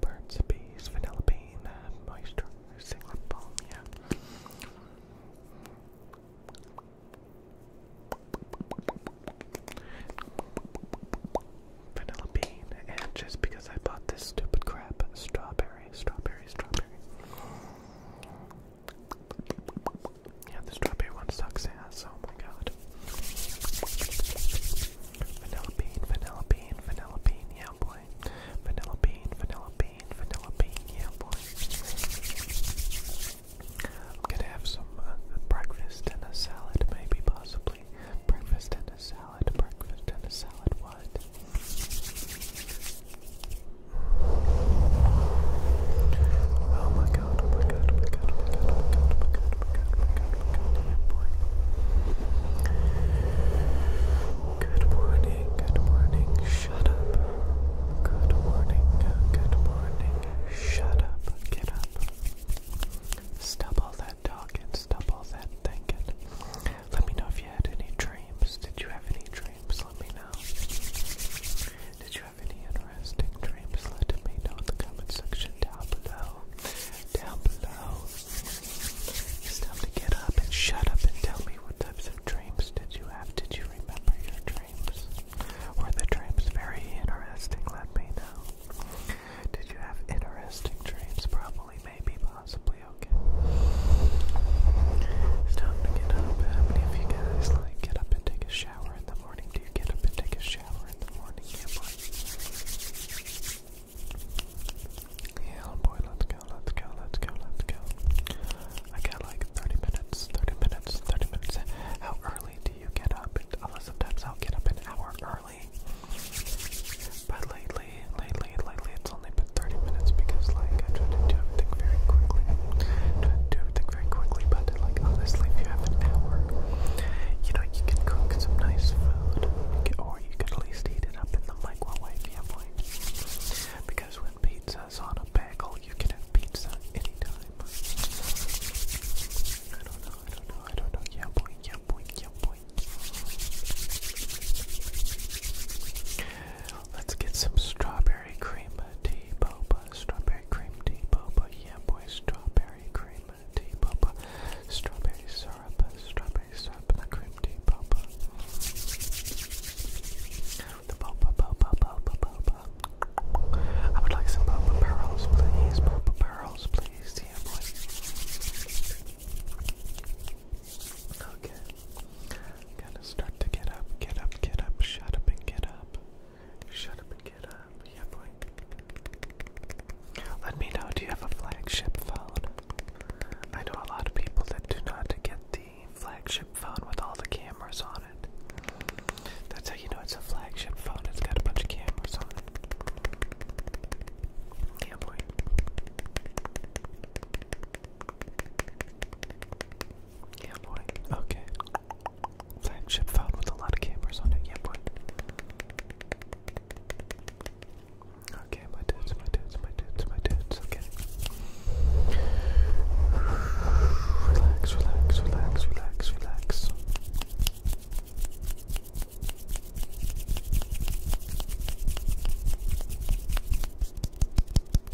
Burt's Bees, Vanilla Bean, uh, Moisturizing Lip Balm, yeah. Vanilla bean, and just because I bought this stupid crap, strawberry, strawberry, strawberry. Yeah, the strawberry one sucks ass, oh my god. Vanilla bean, vanilla bean bean, vanilla bean, yeah boy. Vanilla bean, vanilla bean, vanilla bean, yeah boy. I'm gonna have some uh, breakfast and a salad, maybe, possibly. Breakfast and a salad, breakfast and a salad, what? Oh my god, oh my god, oh my god, oh my god, oh my god, oh my god, we're good, we're good, we're good. Good morning. Good morning, good morning. Shut up. Good morning, good morning. Shut up. Get up. Stop all that talking. Stop all that thinking. Let me know if you had any dreams. Did you have any dreams? Let me know. Did you have any at interesting dreams, let me know in the comment section down below. Down below. It's time to get up and shut up and tell me what types of dreams did you have? Did you remember your dreams? Were the dreams very interesting? Let me know. Did you have interesting dreams? Probably, maybe, possibly, okay. It's time to get up. How many of you guys like get up and take a shower in the the morning? Do you get up and take a shower in the morning? Yeah, boy. Oh boy, let's go, let's go, let's go, let's go. I got like 30 minutes, 30 minutes, 30 minutes. How early do you get up? Uh, sometimes I'll get up an hour early. But lately, lately, lately, it's only been 30 minutes because, like, I try to do everything very quickly. do everything very quickly, but like honestly, if you have an hour, you know you can cook some nice food, or you could at least eat it up in the microwave, yeah, boy. Because when pizza's on a bagel, you can have pizza anytime. I don't know, I don't know, I don't know, yeah, boy, yeah, boy, yeah, boy. Let's get some strawberry Strawberry cream tea boba. Strawberry cream tea boba. Yeah, boy. Strawberry cream tea boba. Strawberry syrup. Strawberry syrup and the cream tea boba. The boba, boba, boba, boba. I would like some boba pearls, please. Boba pearls, please. Yeah, boy. Okay. Gotta start to get up, get up, get up, shut up and get up shut up and get up. Yeah, boy. Let me know, do you have a flagship phone? I know a lot of people that do not get the flagship phone with all the cameras on it. That's how you know it's a flagship phone. It's got a bunch of cameras on it. Yeah, boy. Yeah, boy. Okay. Flagship phone with a lot of cameras on it. Yeah, boy. Okay, my dudes, my dudes, my dudes, my dudes. Okay. Relax, relax, relax, relax, relax.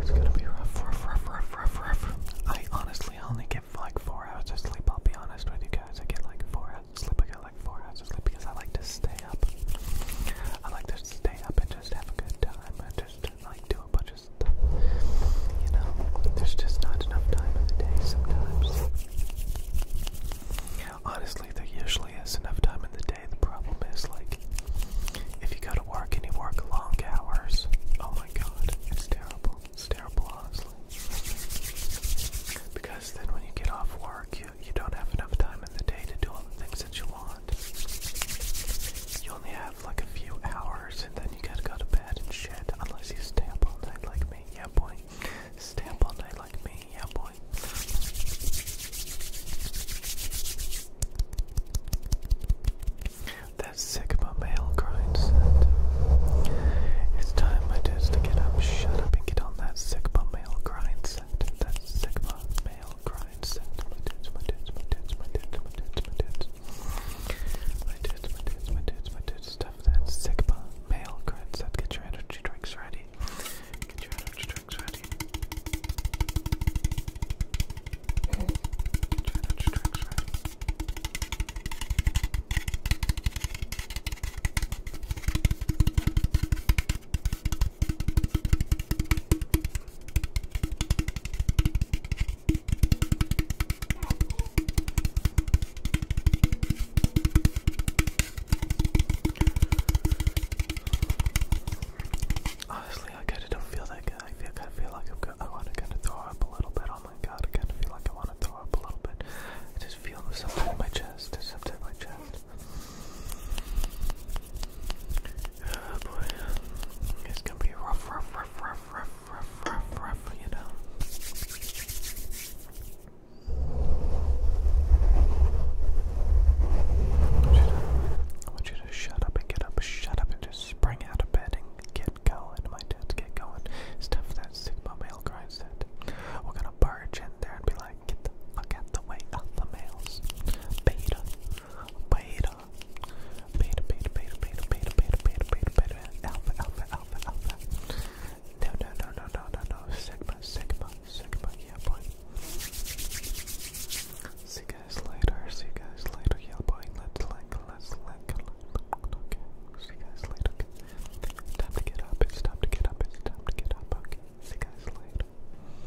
It's gonna be rough, rough, rough, rough, rough, rough. I honestly only get like four hours of sleep. I'll be honest with you guys. I get like four hours of sleep. I get like four hours of sleep because I like to stay up. I like to stay up and just have a good time I just like do a bunch of stuff. You know, there's just not Honestly, there usually is enough time in the day. The problem is, like, if you go to work and you work long hours, oh my god, it's terrible. It's terrible, honestly. Because then when you get off work, you, you don't have enough time in the day to do all the things that you want. You only have like a few hours and then you gotta go to bed and shit unless you stamp all night like me. Yeah, boy. Stay all night like me. Yeah, boy. That Sigma male grind set. It's time, my dudes, to get up, shut up, and get on that Sigma male grind set. That Sigma male grind set. My dudes, my dudes, my dudes, my dudes, my tits. My tits, my tits, my tits, my tits. Stuff that's Sigma, male, good stuff. Get your energy drinks ready. Get your energy drinks ready. Get your energy drinks ready. Honestly, I kind of don't feel that good. I feel, kind of feel like I'm go I want to kind of throw up a little bit. Oh my god, I kind of feel like I want to throw up a little bit. I just feel something in my chest. There's something in my chest. It's gonna be rough, rough, rough, rough, rough, rough, rough, you know. I want, you to, shut up and get up, shut up and just spring out of bed and get going, my dudes, get going. Stuff that Sigma male grind We're gonna barge in there and be like, get the fuck out the way of the males. Beta, Beta. Beta, beta, beta, beta, beta, beta, beta, beta, beta, alpha, alpha, alpha, alpha. No, no, no, no, no, no, no. Sigma, sigma, sigma, yeah, boy. See you guys later, see you guys later, yeah, boy. Let's like, let's like, okay. See you guys later. It's time to get up, it's time to get up, it's time to get up, okay. See you guys later.